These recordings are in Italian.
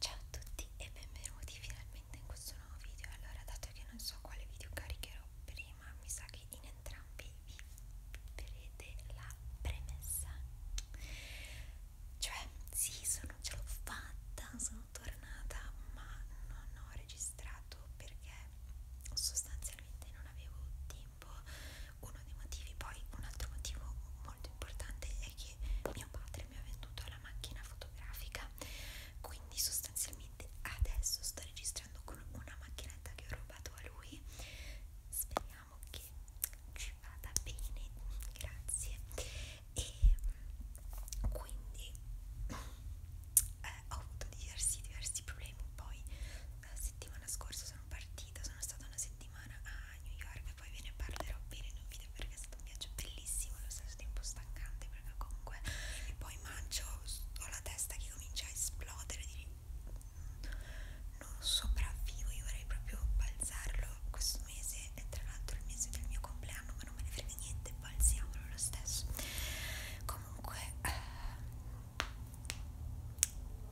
Ciao a tutti e benvenuti finalmente in questo nuovo video. Allora, dato che non so quale video caricherò prima, mi sa che in entrambi vi vedrete la premessa. Cioè, sì, sono, ce l'ho fatta, sono tornata, ma non ho registrato perché sostanzialmente non avevo tempo. 1 uno dei motivi. Poi un altro motivo molto importante è che mio padre mi ha venduto la macchina fotografica, quindi sostanzialmente adesso sto registrando con una macchinetta che ho rubato a lui. Speriamo che ci vada bene, grazie. E quindi eh, ho avuto diversi, diversi problemi. Poi, la eh, settimana scorsa sono partita, sono stata una settimana settimana a ah, New York poi ve ne parlerò bene in un video perché è stato un viaggio bellissimo allo stesso tempo stancante perché comunque poi mangio ho la testa che comincia a esplodere di... non sopravvivo io vorrei proprio balzarlo questo mese è tra l'altro il mese del mio compleanno ma non me ne frega niente balziamolo lo stesso comunque eh,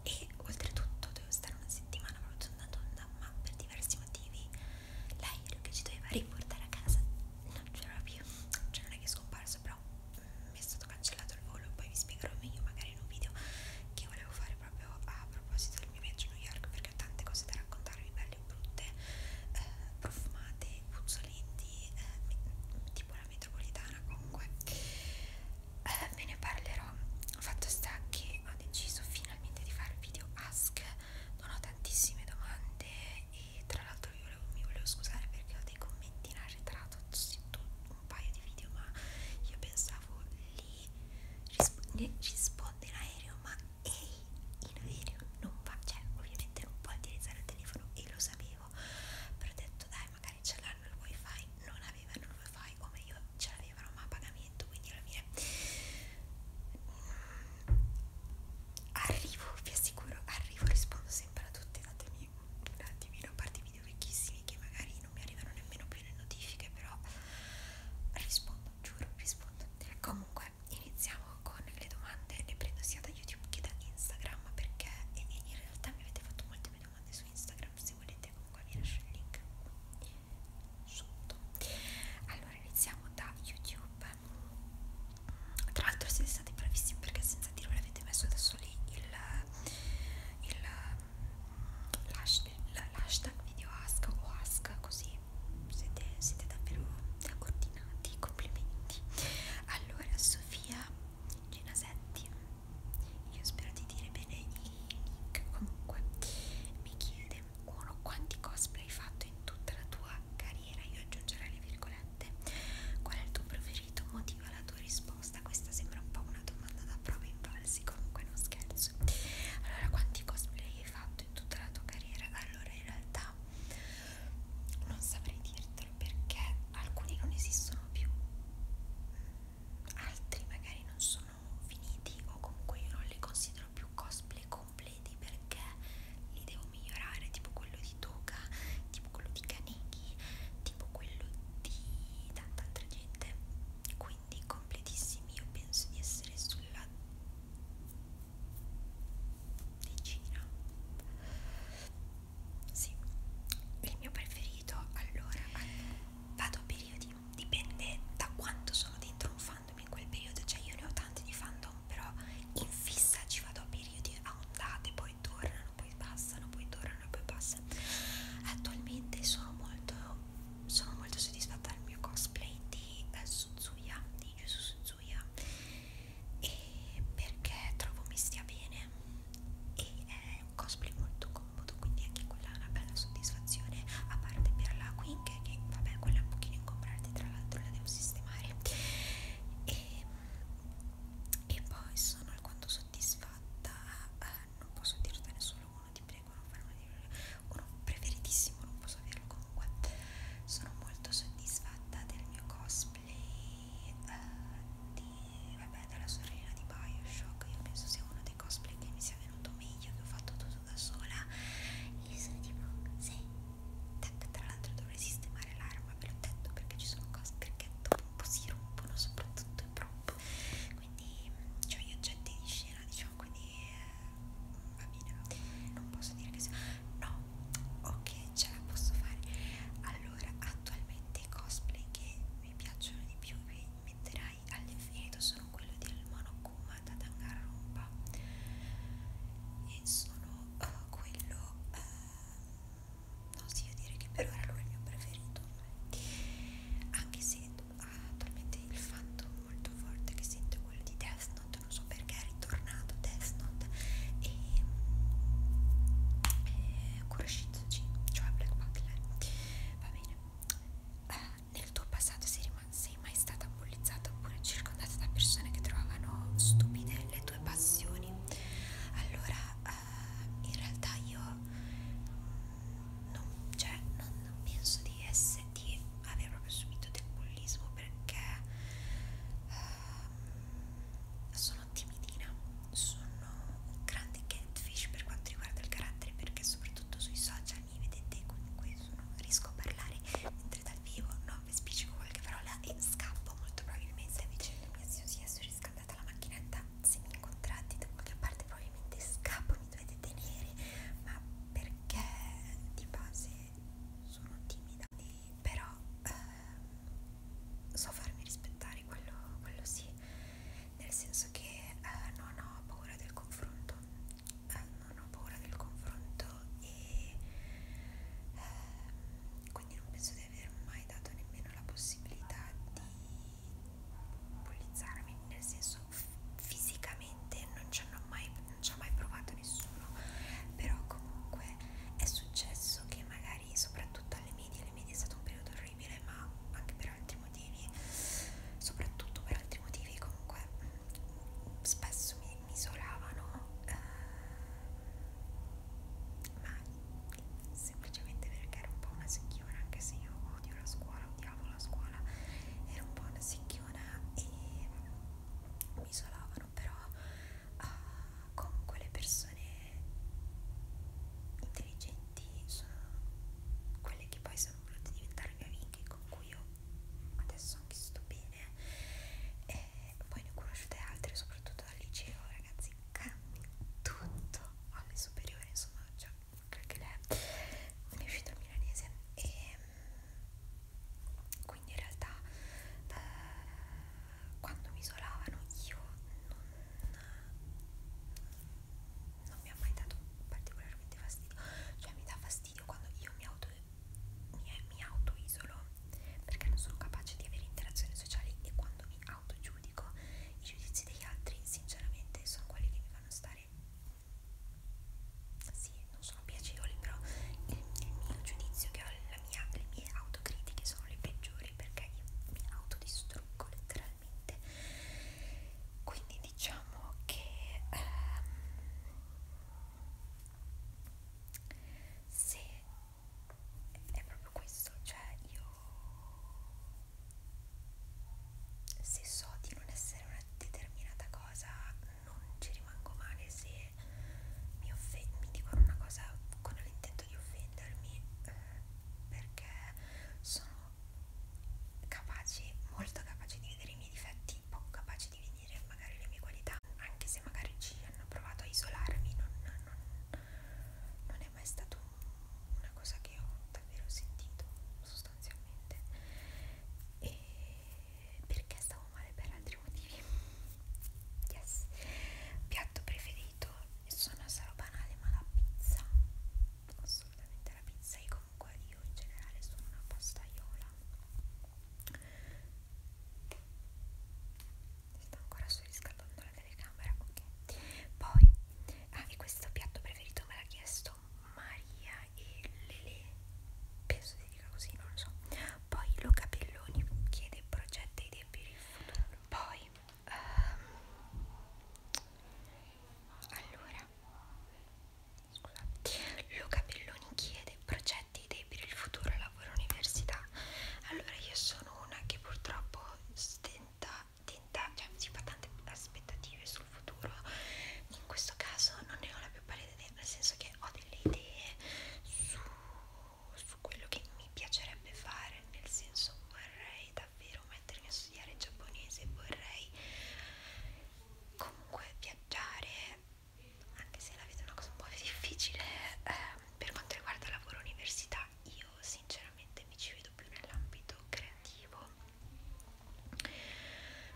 e oltretutto dovevo stare una settimana proprio tonda tonda ma per diversi motivi l'aereo che ci doveva riportare a casa non c'era più cioè non è che è scomparso però mm, mi è stato cancellato il volo poi vi spiegherò meglio magari in un video che volevo fare proprio a proposito del mio viaggio a New York perché ho tante cose da raccontarvi belle e brutte eh, profumate, puzzolenti eh, tipo la metropolitana comunque eh, ve ne parlerò fatto sta che ho deciso finalmente di fare il video ask non ho tantissime domande e tra l'altro io volevo, mi volevo scusare perché ho dei commenti in arretrato sì, un paio di video ma io pensavo lì risp risponde in aereo ma ehi in aereo non va cioè ovviamente non puoi utilizzare il telefono e lo sapevo però ho detto dai magari ce l'hanno il wifi non avevano il wifi o meglio ce l'avevano ma a pagamento allenamento quindi alla fine mm, arrivo vi assicuro arrivo rispondo sempre a tutte datemi un attimino a parte i video vecchissimi che magari non mi arrivano nemmeno più le notifiche però rispondo giuro rispondo comunque iniziamo con le domande ne prendo sia da youtube che da instagram perché in realtà mi avete fatto molte mie domande su instagram se volete comunque vi lascio il link sotto allora iniziamo da youtube tra l'altro siete stati bravissimi perché senza dirvelo avete messo adesso lì il, il, l'hashtag video ask o ask così siete, siete davvero ordinati complimenti allora Sofia Ginasetti io spero di dire bene il nick comunque mi chiede uno quanti cosplay hai fatto in tutta la tua carriera io aggiungerò le virgolette qual è il tuo preferito motiva la tua risposta questa sembra un po' una domanda da prova in valsi comunque non scherzo allora quanti cosplay hai fatto in tutta la tua carriera allora in realtà non saprei dirtelo perché alcuni non esistono più altri magari non sono sono finiti o comunque io non li considero più cosplay completi perché li devo migliorare tipo quello di Toga, tipo quello di Kaneki, tipo quello di tanta altra gente quindi completissimi io penso di essere sulla decina sì il mio preferito allora vado a periodi dipende da quanto sono dentro un fandom in quel periodo, cioè io ne ho tanti di fandom, però in fissa ci vado a periodi a ondate, poi tornano, poi passano, poi tornano e poi passano. Attualmente sono molto, sono molto soddisfatta del mio cosplay di eh, Suzuya, di Yuzu Suzuya, e perché trovo mi stia bene e è un cosplay molto comodo quindi anche quella è una bella soddisfazione a parte per la Quink che vabbè quella è un pochino incomprata tra l'altro la devo sistemare e, e poi sono alquanto soddisfatta eh, non posso dirtene solo uno ti prego non farmi dire uno preferitissimo non posso averlo comunque sono molto soddisfatta del mio cosplay eh, di vabbè, dalla sorella di Bioshock. Io penso sia uno dei cosplay che mi sia venuto meglio, che ho fatto tutto da sola. E io sono tipo, sì. Tac, tra l'altro dovrei sistemare l'arma, ve l'ho detto, perché ci sono cose, perché dopo un po' si rompono, soprattutto i prop. Quindi, cioè gli oggetti di scena, diciamo, quindi eh, va bene. Non posso dire che sia... No, ok, ce la posso fare. Allora, attualmente i cosplay che mi piacciono di più, mi metterai all'infinito sono quello del Monokuma da Danganronpa e sono uh, quello uh, eh, non si sì, dire che per ora lui è il mio preferito anche se ha ah, attualmente il fatto molto forte che sento quello di Death Note non so perché è ritornato Death Note e, mm, e eh, Kuroshitsuji cioè Black Butler Va bene. Uh, nel tuo passato sei, sei mai stata bullizzata oppure circondata da persone che trovavano stupide le tue passioni? Allora, uh, in realtà io non, cioè, non, non penso di, essere, di aver proprio subito del bullismo perché uh, sono timidina sono un grande catfish per quanto riguarda il carattere perché soprattutto sui social mi vedete comunque sono, riesco a parlare mentre dal vivo no, vi spiccico qualche parola e scappo molto probabilmente se vicino mia zio si è riscaldata la macchinetta se mi incontrate da qualche parte probabilmente scappo mi dovete tenere ma perché di base sono timida però ehm, so farmi rispettare quello, quello sì nel senso che eh, non ho paura del confronto, eh, non ho paura del confronto e eh, quindi non penso di aver mai dato nemmeno la possibilità di bullizzarmi, nel senso fisicamente non ci ha mai, mai provato nessuno, però comunque è successo che magari soprattutto alle medie, alle medie è stato un periodo terribile ma anche per altri motivi soprattutto per altri motivi comunque spesso mi, mi isolavano eh, ma semplicemente perché ero un po' una secchiona anche se io odio la scuola odiavo la scuola ero un po' una secchiona e mi isolavano però uh, comunque le persone intelligenti sono quelle che poi sono volute diventare mie amiche con cui io adesso anche sto bene e poi ne ho conosciute altre soprattutto dal liceo ragazzi cambia tutto alle superiori insomma cioè credo che lei ne è uscito il milanese e mm, quindi in realtà eh, quando mi isolavano io non, non mi ha mai dato particolarmente fastidio, cioè mi dà fastidio quando io mi auto, mi, mi auto isolo perché non sono capace di avere interazioni sociali e quando mi auto giudico i giudizi degli altri sinceramente sono quelli che mi fanno stare sì, non sono piacevoli però il, il mio giudizio che ho, la mia, le mie autocritiche sono le peggiori soli perché io mi autodistruggo letteralmente quindi diciamo che ehm, se è proprio questo cioè io se so di non essere una determinata cosa non ci rimango male se mi, mi dicono una cosa con l'intenzione permetto di offendermi eh, perché sono capaci, molto capaci di vedere i miei difetti, poco capaci di vedere magari le mie qualità, anche se magari ci hanno provato a isolarmi, non, non, non è mai stato una cosa che ho davvero sentito sostanzialmente e perché stavo male per altri motivi yes piatto preferito sono sarò banale ma la pizza assolutamente la pizza e comunque io in generale sono una pastaiola sta ancora surriscaldando la telecamera ok poi ah, e questo piatto preferito me l'ha chiesto Maria e Lele penso si dica così non lo so poi Luca Pelloni chiede progetti e idee per il futuro poi Um, allora, scusate, Luca Belloni chiede progetti idee per il futuro lavoro università. Allora, io sono una che purtroppo stenta, tenta, cioè si fa tante aspettative sul futuro. In questo caso non ne ho la più pallida idea, nel senso che ho delle idee su su quello che mi piacerebbe fare, nel senso vorrei davvero mettermi a studiare giapponese, vorrei comunque viaggiare, anche se la vedo una cosa un po' difficile eh, per quanto riguarda lavoro università, io sinceramente mi ci vedo più nell'ambito creativo,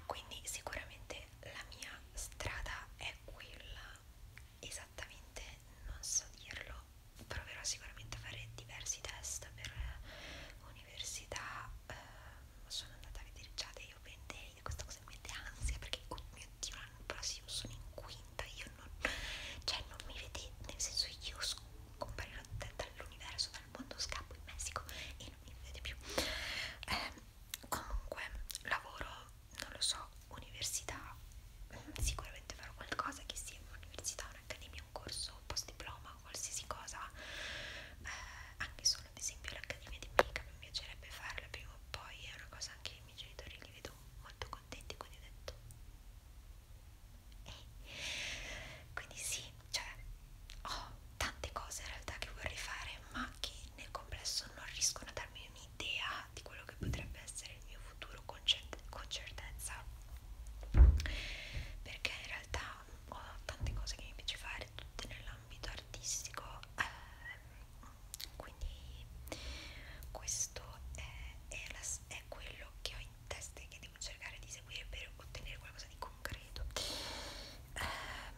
quindi sicuramente la mia strada è quella, esattamente non so dirlo proverò sicuramente a fare diversi test per eh, università eh, sono andata a vedere già dei open day e questa cosa mi mette ansia perché oh mio dio l'anno prossimo sono in quinta io non cioè non mi vedete nel senso io comparirò dall'universo dal mondo scappo in Messico e non mi vedete più eh, comunque lavoro non lo so, università, sicuramente farò qualcosa che sia un'università, un'accademia, un corso, un post diploma, qualsiasi cosa, eh, anche solo ad esempio l'accademia di Mica mi piacerebbe farla prima o poi, è una cosa anche i miei genitori li vedo molto contenti, quindi ho detto... Eh. Quindi sì, cioè ho tante cose in realtà che vorrei fare ma che nel complesso non riescono a darmi un'idea idea di quello che potrebbe essere il mio futuro con, con certezza perché in realtà ho tante cose che mi piace fare tutte nell'ambito artistico eh, quindi questo è, è, la, è quello che ho in testa e che devo cercare di seguire per ottenere qualcosa di concreto eh,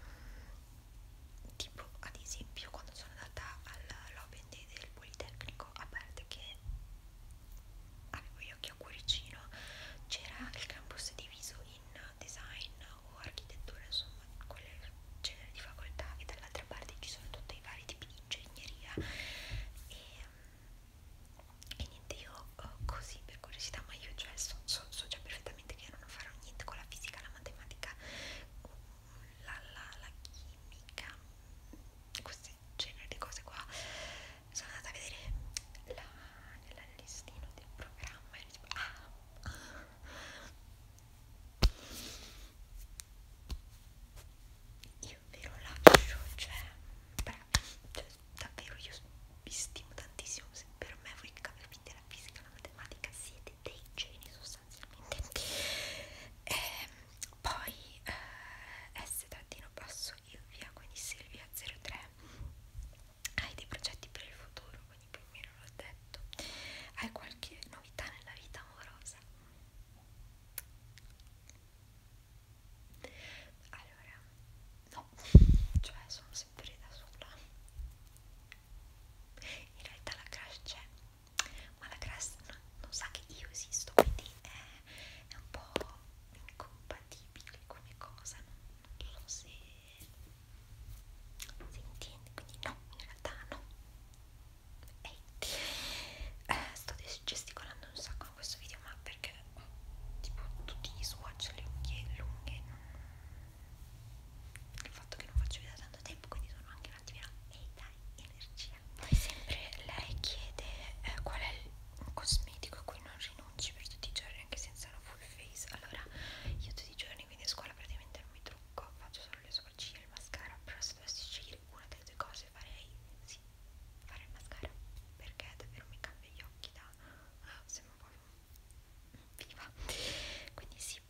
tipo ad esempio quando sono andata al lobby quindi del Politecnico, a parte che avevo gli occhi a cuoricino, c'era il campus diviso in design o architettura, insomma, quel genere di facoltà, e dall'altra parte ci sono tutti i vari tipi di ingegneria. E, e niente, io oh, così per curiosità, ma io cioè so, so, so già perfettamente che io non farò niente con la fisica, la matematica la, la, la chimica, questi generi di cose qua. Sono andata a vedere la, nella listino del programma e tipo, ah, ah. Io ve lo lascio, cioè, bravi, cioè, davvero io vi stimo tantissimo. Se per me voi che capite la fisica e la matematica siete dei geni, sono sostanzialmente e ehm, poi eh, S trattino basso Silvia quindi Silvia 03 hai dei progetti per il futuro quindi più o meno l'ho detto hai qualche novità nella vita amorosa allora no cioè sono sempre da sola in realtà la crash c'è ma la Crest non, non sa che io esisto, quindi è, è un po' incompatibile come cosa, non, non so se, se intendi, quindi no, in realtà no. Ehi, eh, sto gesticolando un sacco in questo video, ma perché oh, tipo tutti gli swatch, le unghie lunghe, non... il fatto che non faccio via da tanto tempo, quindi sono anche un attimino ehi dai hai energia. Poi sempre lei chiede eh, qual è il cosmetico a cui non rinunci per tutti i giorni anche senza una full face. Allora, io tutti i giorni, quindi a scuola praticamente non mi trucco, faccio solo le sopracciglia e il mascara, però se dovessi scegliere una delle due cose farei sì, fare il mascara, perché davvero mi cambia gli occhi da... Ah, sembra un po' viva. Quindi sì,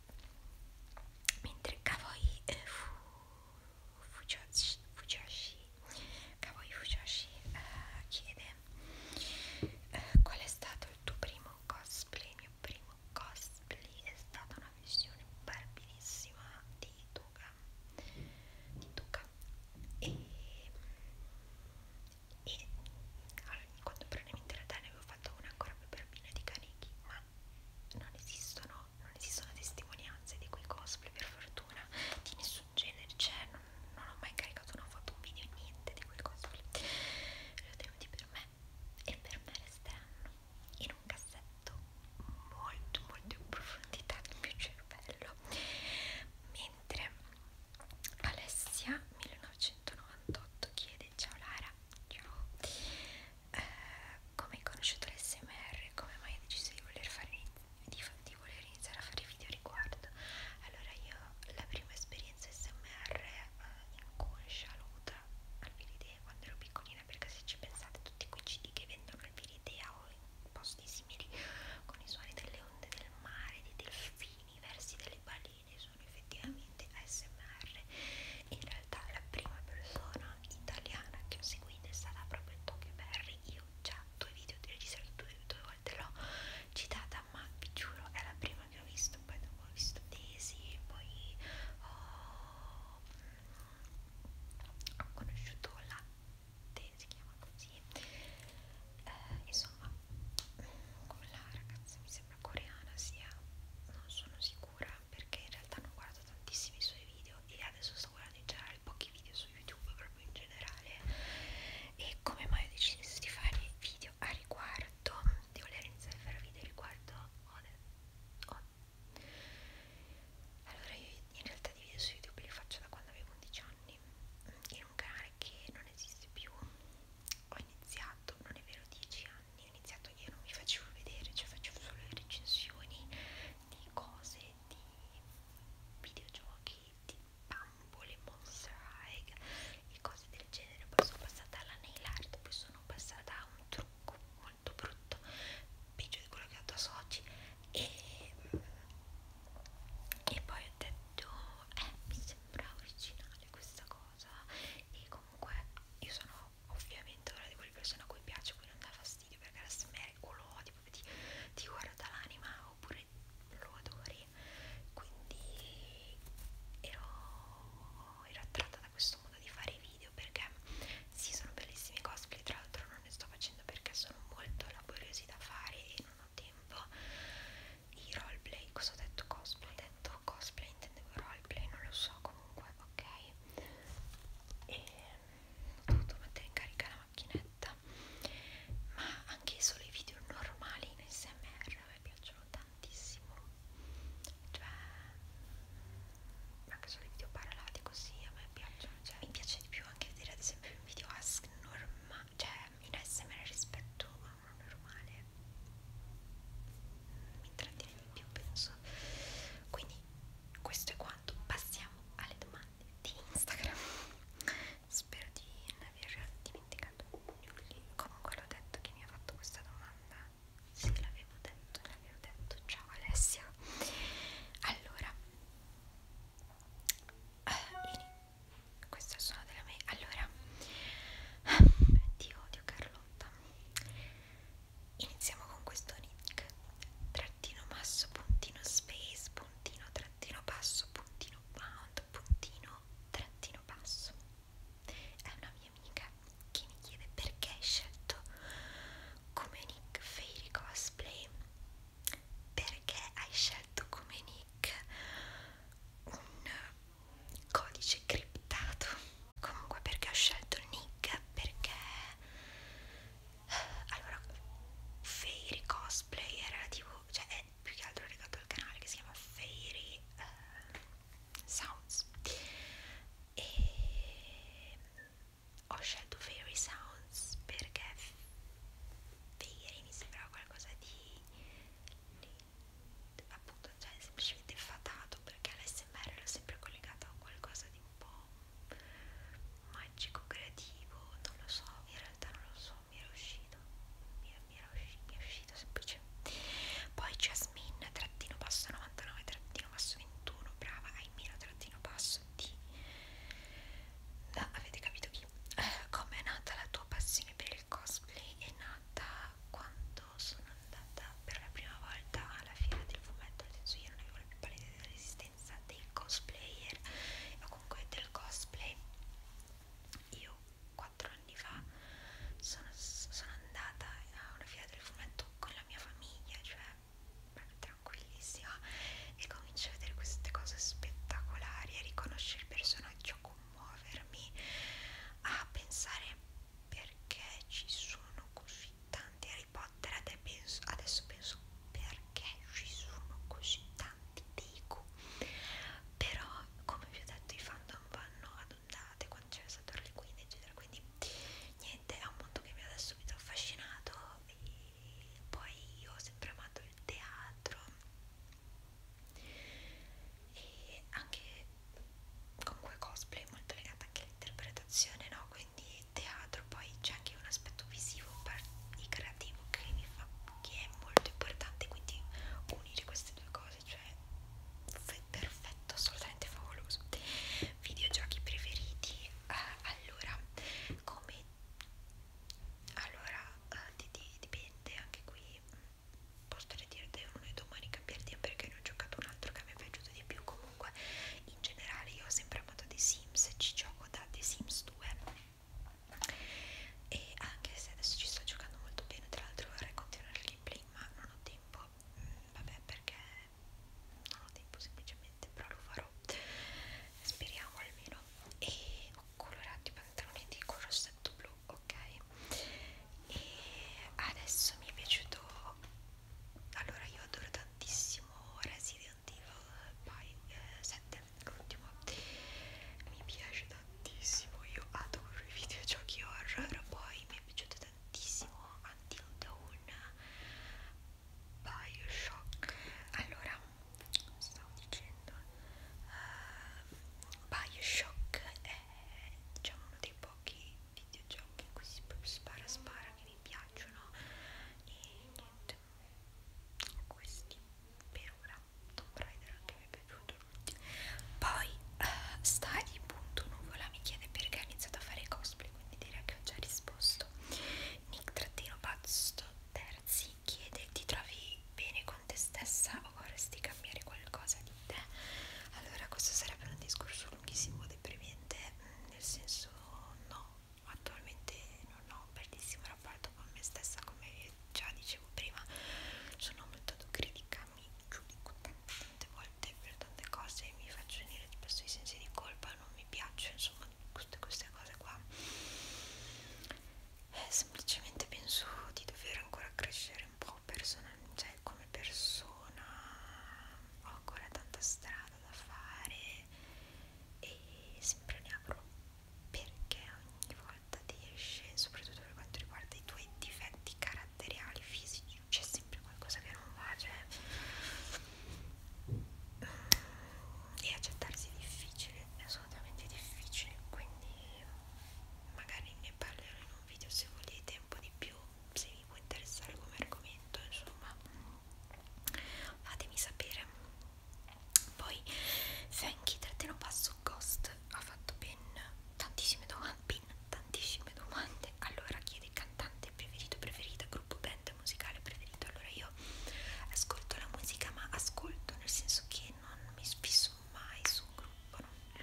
mentre Kawai eh, fu, Fujoshi, Fujoshi, Kawai Fujoshi eh, chiede eh, qual è stato il tuo primo cosplay il mio primo cosplay è stata una visione barbierissima di Tuga di Tuga e, e allora, quando probabilmente in realtà ne avevo fatto una ancora più barbina di Kaneki ma non esistono, non esistono testimonianze di quei cosplay per fortuna di nessun genere, cioè non, non ho mai caricato una foto, un video, niente di quei cosplay li ho tenuti per me e per me resteranno in un cassetto molto molto in profondità del mio cervello mentre Alessia 1998 chiede ciao Lara ciao eh, come hai conosciuto l'SMR, come mai hai deciso di voler, fare, di, di voler iniziare a fare video a riguardo. Allora io la prima esperienza SMR eh, inconscia l'ho avuta al Viridea quando ero piccolina perché se ci pensate tutti quei CD che vendono al Viridea o in posti simili con i suoni delle onde del mare, dei delfini, i versi delle balene sono effettivamente ASMR. In realtà la prima persona italiana che ho seguito è stata proprio Tokyo Berry. Io già due video di registrato due, due volte l'ho citata, ma vi giuro è la prima che ho visto, poi dopo ho visto Daisy, poi ho, mm, ho conosciuto Latte, si chiama così. Eh, insomma, quella ragazza mi sembra coreana sia, non sono sicura sicura perché in realtà non guardo tantissimi suoi video e adesso sto guardando in generale pochi video su YouTube proprio in generale e come mai ho deciso di fare video a riguardo di voler iniziare a fare video a riguardo Ode oh. allora io in realtà di video su YouTube li faccio da quando avevo 11 anni in un canale che non esiste più ho iniziato non è vero 10 anni anni ho iniziato io non mi facevo vedere cioè facevo solo le recensioni di cose di videogiochi di bambole monster high e cose del genere poi sono passata alla nail art poi sono passata a un trucco molto brutto peggio di quello che ho fatto a Sochi e, mm, e poi ho detto eh mi sembra originale questa cosa e comunque io sono ovviamente ora di quelle persone a cui piace cui non dà fastidio perché la smergo, lo odio, ti, ti guarda l'anima oppure lo adori quindi ero, ero attratta da questo modo di fare video perché sì sono bellissimi cosplay tra l'altro non ne sto facendo perché sono molto laboriosi da fare e non ho tempo i roleplay, cosa ho detto cosplay? detto cosplay intendevo roleplay non lo so comunque ok e ho dovuto mettere in carica la macchinetta ma anche solo i video normali in smr mi piacciono tantissimo cioè anche solo i video parlati così a me piacciono cioè, mi piace di più anche vedere ad esempio un video ask normale cioè in smr rispetto a Ah, normale mi intrattiene di più penso quindi questo è quanto passiamo alle domande di Instagram spero di non aver dimenticato nulla comunque l'ho detto che mi ha fatto questa domanda sì l'avevo detto l'avevo detto ciao Alessia allora eh, queste sono della me allora eh, ti odio Carlotta Iniziamo con questo nick trattino masso puntino space puntino trattino basso puntino bound puntino trattino basso è una mia amica che mi chiede perché hai scelto come nick Fairy Cosplay perché hai scelto come nick un codice criptato comunque perché ho scelto il nick perché eh, allora Fairy Cosplay era tipo cioè è più che altro legato al canale che si chiama Fairy uh, Sounds e ho scelto Fairy Sounds perché Fairy mi sembrava qualcosa di appunto cioè semplicemente fatato perché l'SMR l'ho sempre collegato a qualcosa di un po' magico, creativo, non lo so, in realtà non lo so, mi era uscito, mi, mi, era, usci, mi è uscito semplice. Poi Jasmine trattino basso 99 trattino basso 21, brava, Aimino trattino basso di... No, avete capito chi? Eh, come è nata la tua passione per il cosplay? È nata quando quando sono andata per la prima volta alla fiera del fumetto, nel senso io non avevo la più pallida dell'esistenza dei cosplayer o comunque del cosplay, io quattro anni fa sono, sono andata a una fiera del fumetto con la mia famiglia, cioè tranquillissima, e comincio a vedere queste cose spettacolari, a riconoscere il personaggio come commuovermi a pensare perché ci sono così tanti Harry Potter adesso penso, adesso penso perché ci sono così tanti Deku però come vi ho detto i fandom vanno ad ondate quando c'è stato Harley Quinn eccetera quindi niente è un mondo che mi ha da subito affascinato e poi io ho sempre amato il teatro e anche comunque cosplay molto legata anche all'interpretazione no quindi teatro poi c'è anche un aspetto visivo e creativo che mi fa che è molto importante quindi unire queste due cose cioè perfetto assolutamente favoloso videogiochi preferiti eh, allora come allora eh, dipende anche qui mm, posso dire di uno e domani cambiare idea perché ne ho giocato un altro che mi è piaciuto di più comunque in generale io ho sempre amato The Sims ci gioco da The Sims 2 e anche se adesso ci sto giocando molto bene tra l'altro vorrei continuare il gameplay ma non ho tempo mm, vabbè perché non ho tempo semplicemente però lo farò speriamo almeno e ho colorato i pantaloni di col rossetto blu ok e adesso mi è piaciuto allora io adoro tantissimo Resident Evil by, eh, 7 l'ultimo mi piace tantissimo io adoro i videogiochi horror poi mi è piaciuto tantissimo Until Dawn Bioshock allora stavo dicendo uh, Bioshock è è diciamo uno dei pochi videogiochi in cui si spara spara che mi piacciono e niente questi per ora Tomb Raider che mi è piaciuto poi uh, eh, Stadi.nuvola mi chiede perché ho iniziato a fare cosplay quindi direi che ho già risposto Nick trattino Pazzo Terzi chiede ti trovi bene con te stessa o vorresti cambiare qualcosa di te allora questo sarebbe un discorso lunghissimo deprimente mm, nel senso no attualmente non ho un bellissimo rapporto con me stessa come già dicevo prima sono molto autocritica mi giudico tante, tante volte per tante cose mi faccio venire spesso i sensi di colpa non mi piacciono insomma tutte queste cose qua eh, semplicemente penso di dover ancora crescere un po' personalmente, cioè come persona ho ancora tanta strada da fare e sempre ne avrò perché ogni volta ti esce, soprattutto per quanto riguarda i tuoi difetti caratteriali, fisici, c'è sempre qualcosa che non va, cioè mm, e accettarsi è difficile, è assolutamente difficile, quindi magari ne parlerò in un video se volete un po' di più se vi può interessare come argomento insomma fatemi sapere poi Fenki trattino basso Ghost ha fatto ben tantissime domande ben tantissime domande allora chiede cantante preferito preferita gruppo band musicale preferito allora io ascolto la musica ma ascolto nel senso che non mi fisso sono mai su un gruppo.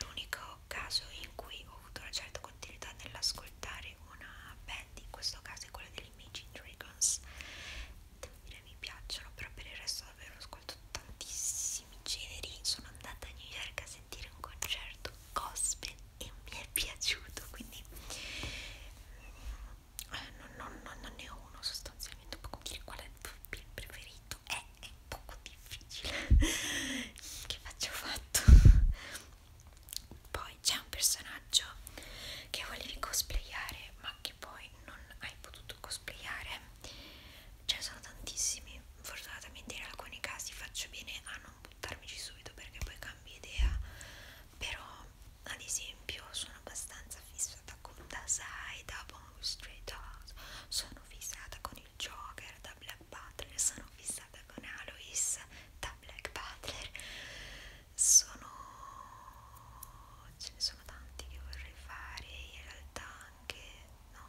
L'unico caso in cui ho avuto una certa continuità nell'ascoltare una band, in questo caso è quella degli Imagine Dragons, devo dire mi piacciono, però per il resto davvero ascolto tantissimi generi. Sono andata a New York a sentire un concerto gospel e mi è piaciuto, quindi mm, eh, non, non, non ne ho uno sostanzialmente, un po' come dire qual è il preferito è, è poco difficile che faccio fatto poi c'è un personaggio che volevi cosplayare ma che poi non hai potuto cosplayare ce ne sono tantissimi fortunatamente in alcuni casi faccio bene a non buttarmici subito perché poi cambio idea però ad esempio sono abbastanza fissata con Dasai da Wow, straight out. Sono fissata con il Joker da Black Butler. Sono fissata con Alois da Black Butler. Sono. ce ne sono tanti che vorrei fare. In realtà, anche no.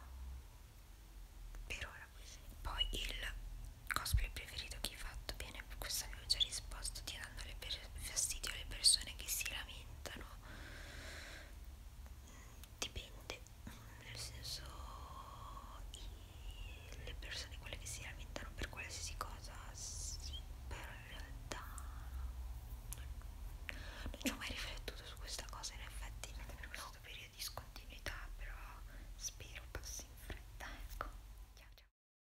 Per ora così. Poi il cosplay preferito che hai fatto. Bene, per questo avevo già risposto tirando fastidio alle persone che si lamentano dipende nel senso i, le persone quelle che si lamentano per qualsiasi cosa sì, però in realtà non, non ci ho mai riflettuto su questa cosa in effetti non per questo periodo di scontinuità però spero passi in fretta ecco ciao ciao